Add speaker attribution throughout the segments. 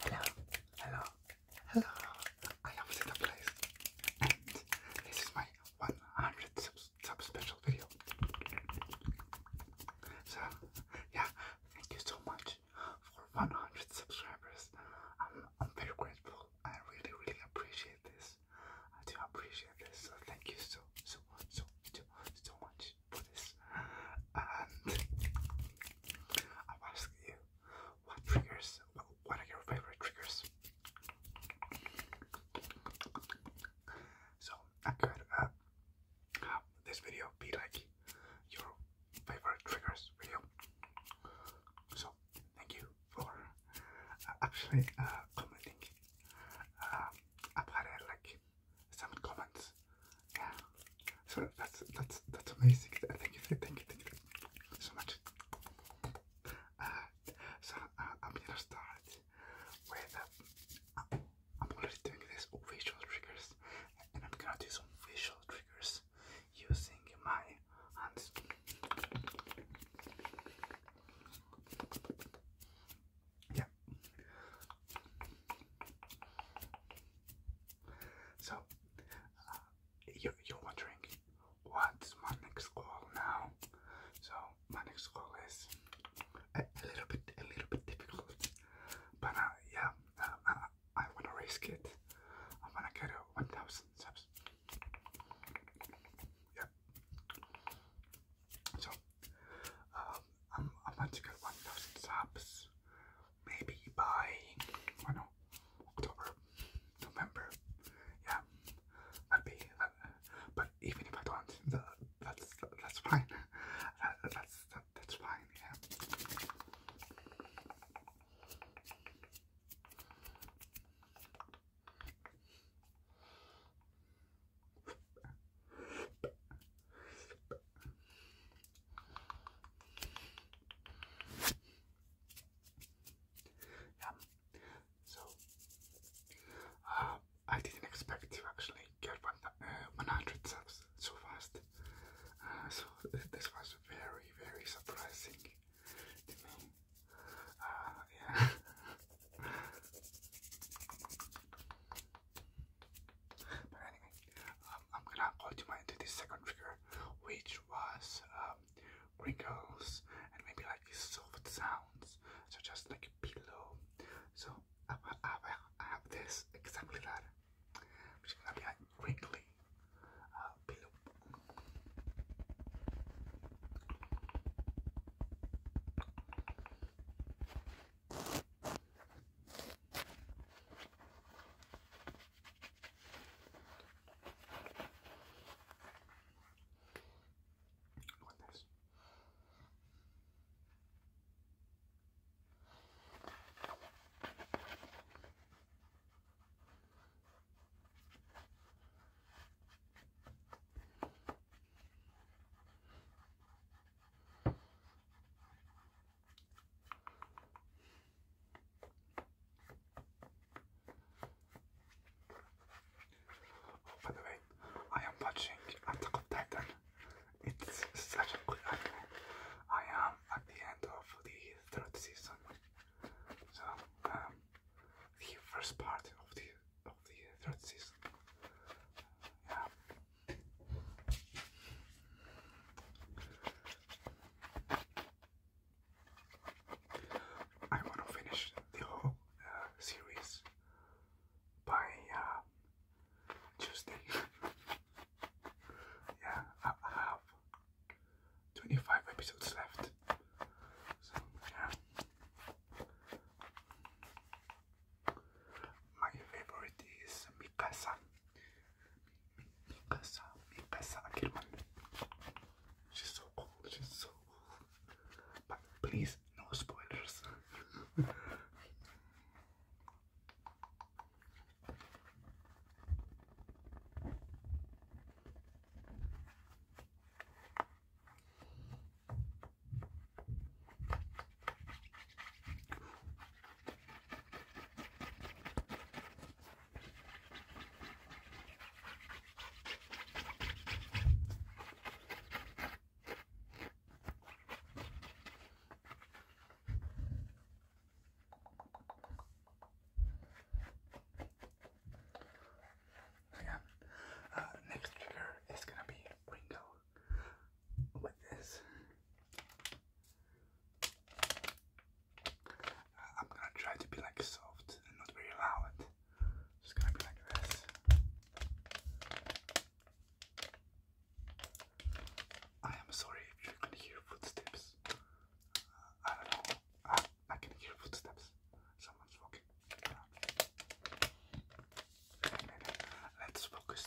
Speaker 1: Hello, hello, hello. I am Zeta Place, and this is my 100th special video. So, yeah, thank you so much for 100 subscribers. I'm, I'm very grateful. I really, really appreciate this. I do appreciate this. So, thank you so, so, so, so, so much for this. And I'm you, what triggers? What are your favorite triggers? So I could have uh, this video be like your favorite triggers video. So thank you for uh, actually uh, commenting. I've had uh, like some comments. Yeah. So that's that's that's amazing. Thank you, thank you, thank you so much. Uh, so uh, I'm gonna start with. Um, I'm already doing this all visual triggers, and I'm gonna do some visual triggers using my hands. Yeah, so, uh, you're, you're wondering, what's my next goal now? So, my next goal is a, little bit, a little bit difficult, but uh, yeah, uh, I, I want to risk it. I want to get to 1,000 subs. Yeah. So, um, i want to get 1,000 subs maybe by, I don't know, October, November. Yeah, that'd be, but even if I don't, that's, that's fine. that's, that's fine, yeah. Yeah. So uh, I didn't expect to actually get one uh, 100 subs so fast. Uh, so this was very very surprising to me. yeah. But anyway, um, I'm gonna call to mind second trigger, which was um, and maybe like soft sounds, so just like a pillow. So I, I, I have this exactly that, which is gonna be like crinkly pillow. Uh, with this. Oh, by the way, I am watching Attack of Titan. It's such a good anime. I am at the end of the third season. So, um, the first part of the of the third season. Yeah, I want to finish the whole uh, series by uh, Tuesday. yeah, I have 25 episodes left. So, yeah. My favorite is Mikasa. Mikasa, Mikasa Akirman. She's so cool, she's so But please, no spoilers. So yeah, uh, next trigger is gonna be Ringo with I'm gonna try to be like soft and not very loud. Just gonna be like this. I am sorry if you can hear footsteps. I don't know. I, can hear footsteps. Someone's walking. Let's focus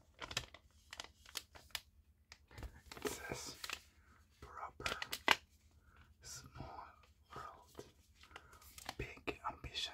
Speaker 1: It says proper small world big ambition.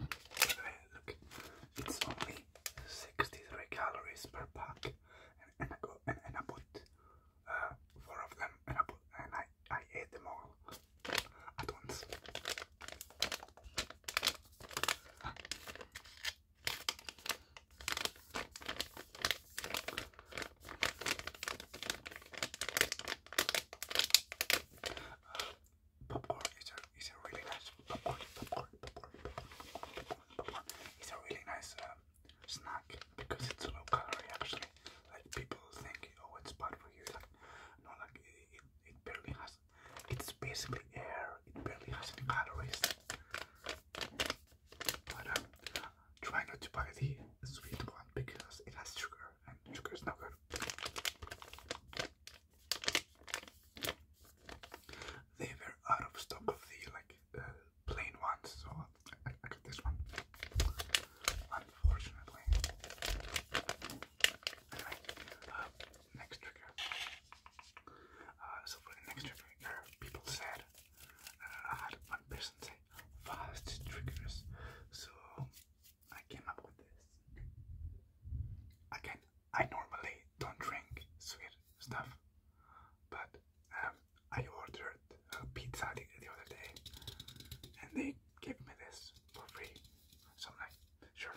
Speaker 1: Look, it's only 63 calories per pack, and, and I go and, and I put uh, four of them, and I and I I ate them all at once popcorn is a, is a really nice popcorn, popcorn, popcorn, popcorn, popcorn. It's a really nice um, snack because it's low calorie actually. Like people think, oh, it's bad for you. Like, no, like it, it, barely has. It's basically air. It barely has any calories. But try not to buy the sweet one because it has sugar and sugar is not good. They were out of stock of the like uh, plain ones, so I, got this one. Unfortunately. Anyway, uh, next trigger. Uh, so for the next trigger, people said I had one fast triggers. So I came up with this. Again, I normally don't drink sweet stuff, but I ordered a pizza the, the other day, and they gave me this for free. So I'm like, sure.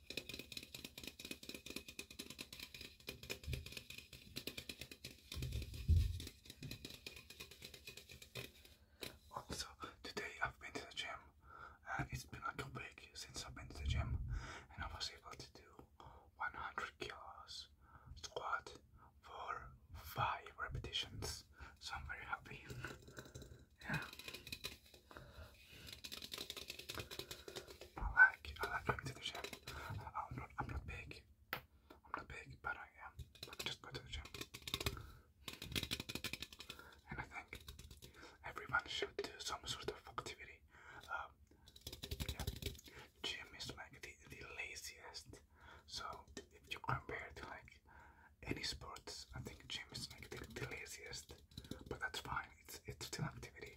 Speaker 1: Also, today I've been to the gym and it's been like a week since I've been to the gym and I was able to do 100 kilos squat for 5 repetitions so I'm very happy. yeah. I like I like going to the gym. I'm not I'm not big. I'm not big, but I am. But I just go to the gym. And I think everyone should do some sort of activity. Um, yeah, gym is like the, the laziest. So if you compare to like any sports, I think gym is like the, the laziest. But that's fine. It's it's still activity.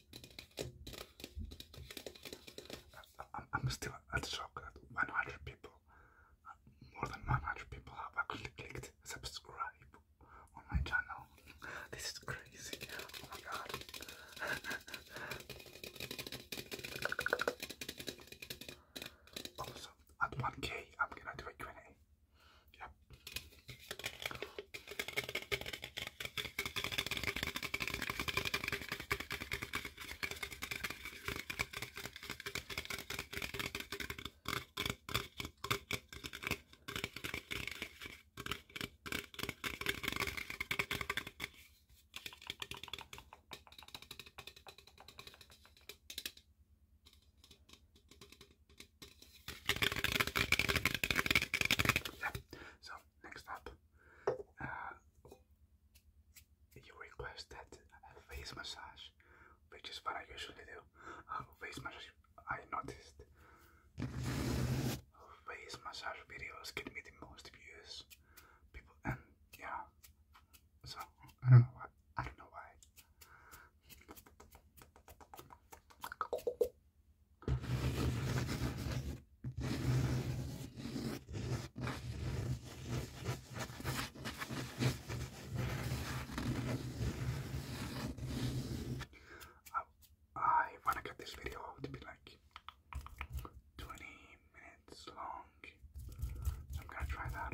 Speaker 1: I, am still at shock that 100 people, more than 100 people have actually clicked subscribe on my channel. This is crazy. Oh my god. also, at 1k, I'm gonna do a q Yep. Yeah. So next up, uh, you requested a face massage, which is what I usually do. Uh, face massage, I noticed. Face massage videos get me the most views. People, and yeah, so I don't know why. I don't know why. I want to get this video to be like 20 minutes long. I'm going to try that.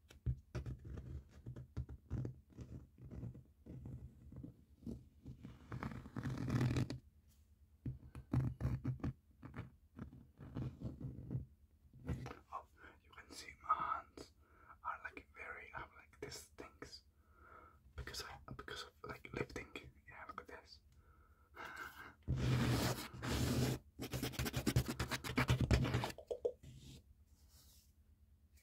Speaker 1: Oh, you can see my hands are like very. I'm like this things because because of like lifting. Yeah, look at this.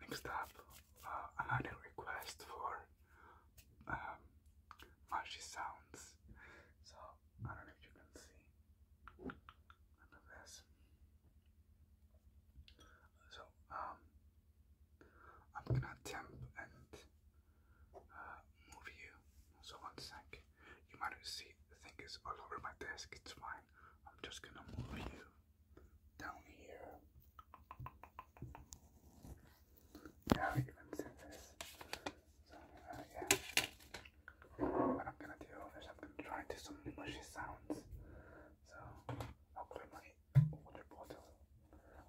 Speaker 1: Next up, uh, another request for mushy um, sounds. So I don't know if you can see. I So, um, I'm gonna attempt and uh, move you. So one sec. You might see the thing is all over my desk. It's fine. I'm just gonna move you down here. Yeah, even said this yeah. What I'm gonna do is I'm gonna try to do some mushy sounds. So I'll clear my water bottle.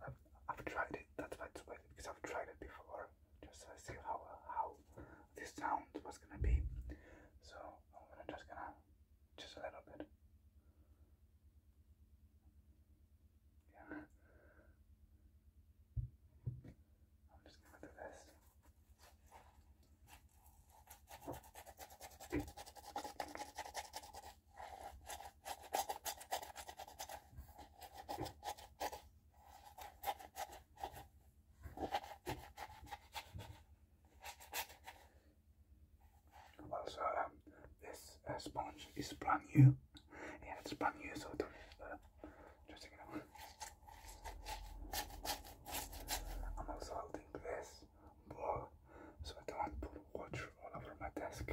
Speaker 1: I've, I've tried it. That's why it's wet because I've tried it before. Just to see how how this sound was gonna be. So I'm just gonna just a little bit. Yeah. I'm just gonna do this. Well, um, this uh, sponge is brand new. Yeah, it's brand new, so uh, I'm also holding this so I don't put water all over my desk.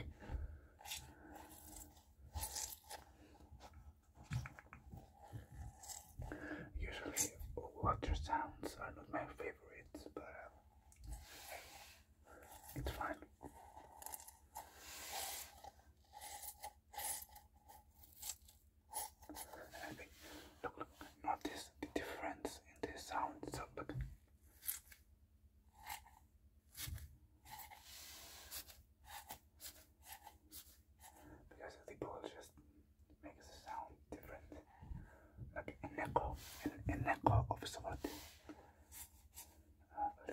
Speaker 1: Usually, water sounds are not my favorites, but um, it's fine. And look, look, notice the difference in the sounds of, Because the ball just makes the sound different. Like an echo, an, an echo of sort. Uh,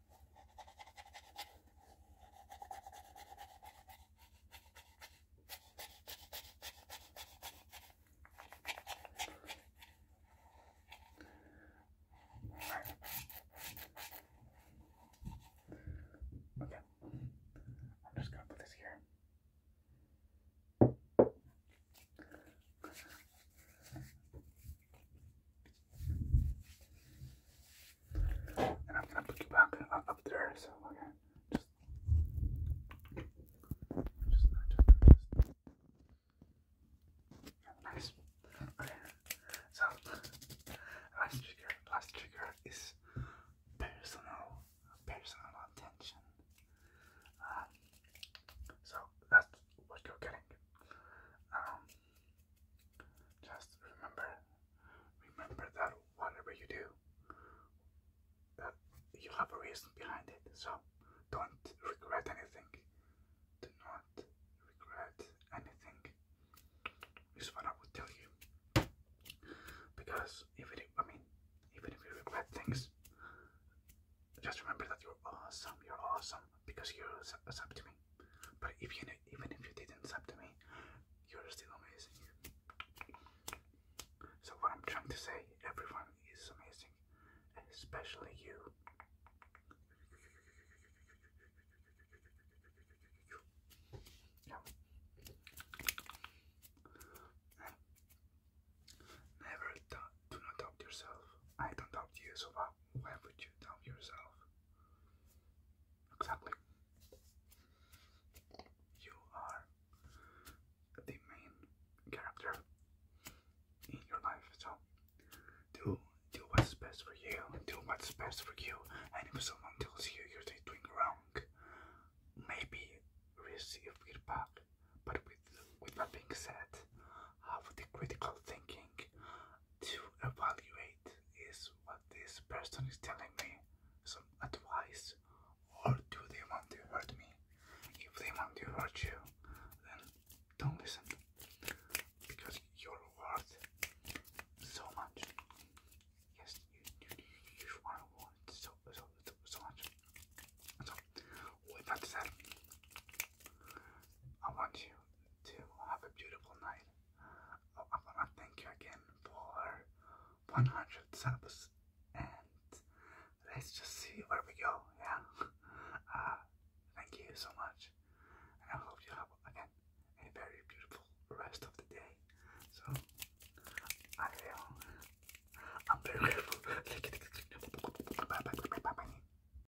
Speaker 1: Okay, I'm just gonna put this here. And I'm gonna put you back uh, up there, so okay. So last trigger, last trigger is personal, personal attention. Uh, so that's what you're getting. Um, just remember, remember that whatever you do, uh, you have a reason behind it. So don't regret anything. Do not regret anything. Is what I would tell you. Because even if I mean, even if you regret things, just remember that you're awesome. You're awesome because you're a sub to me. But if you even if you didn't sub to me, you're still amazing. So what I'm trying to say, everyone is amazing, especially you. Never do, do not doubt yourself. I don't doubt you so far why would you doubt yourself? Exactly. You are the main character in your life, so do do what's best for you, do what's best for you, and if someone tells you you're doing wrong, maybe receive feedback. But with with that being said, have the critical thinking to evaluate is what this person is telling me some advice or do they want to hurt me if they want to hurt you then don't listen because you're worth so much yes you, you, you are worth so, so, so, much so with that I want you to have a beautiful night. Oh, I want to thank you again for 100 subs, and let's just see where we go. Yeah, uh, thank you so much, and I hope you have again a very beautiful rest of the day. So I I'm very grateful.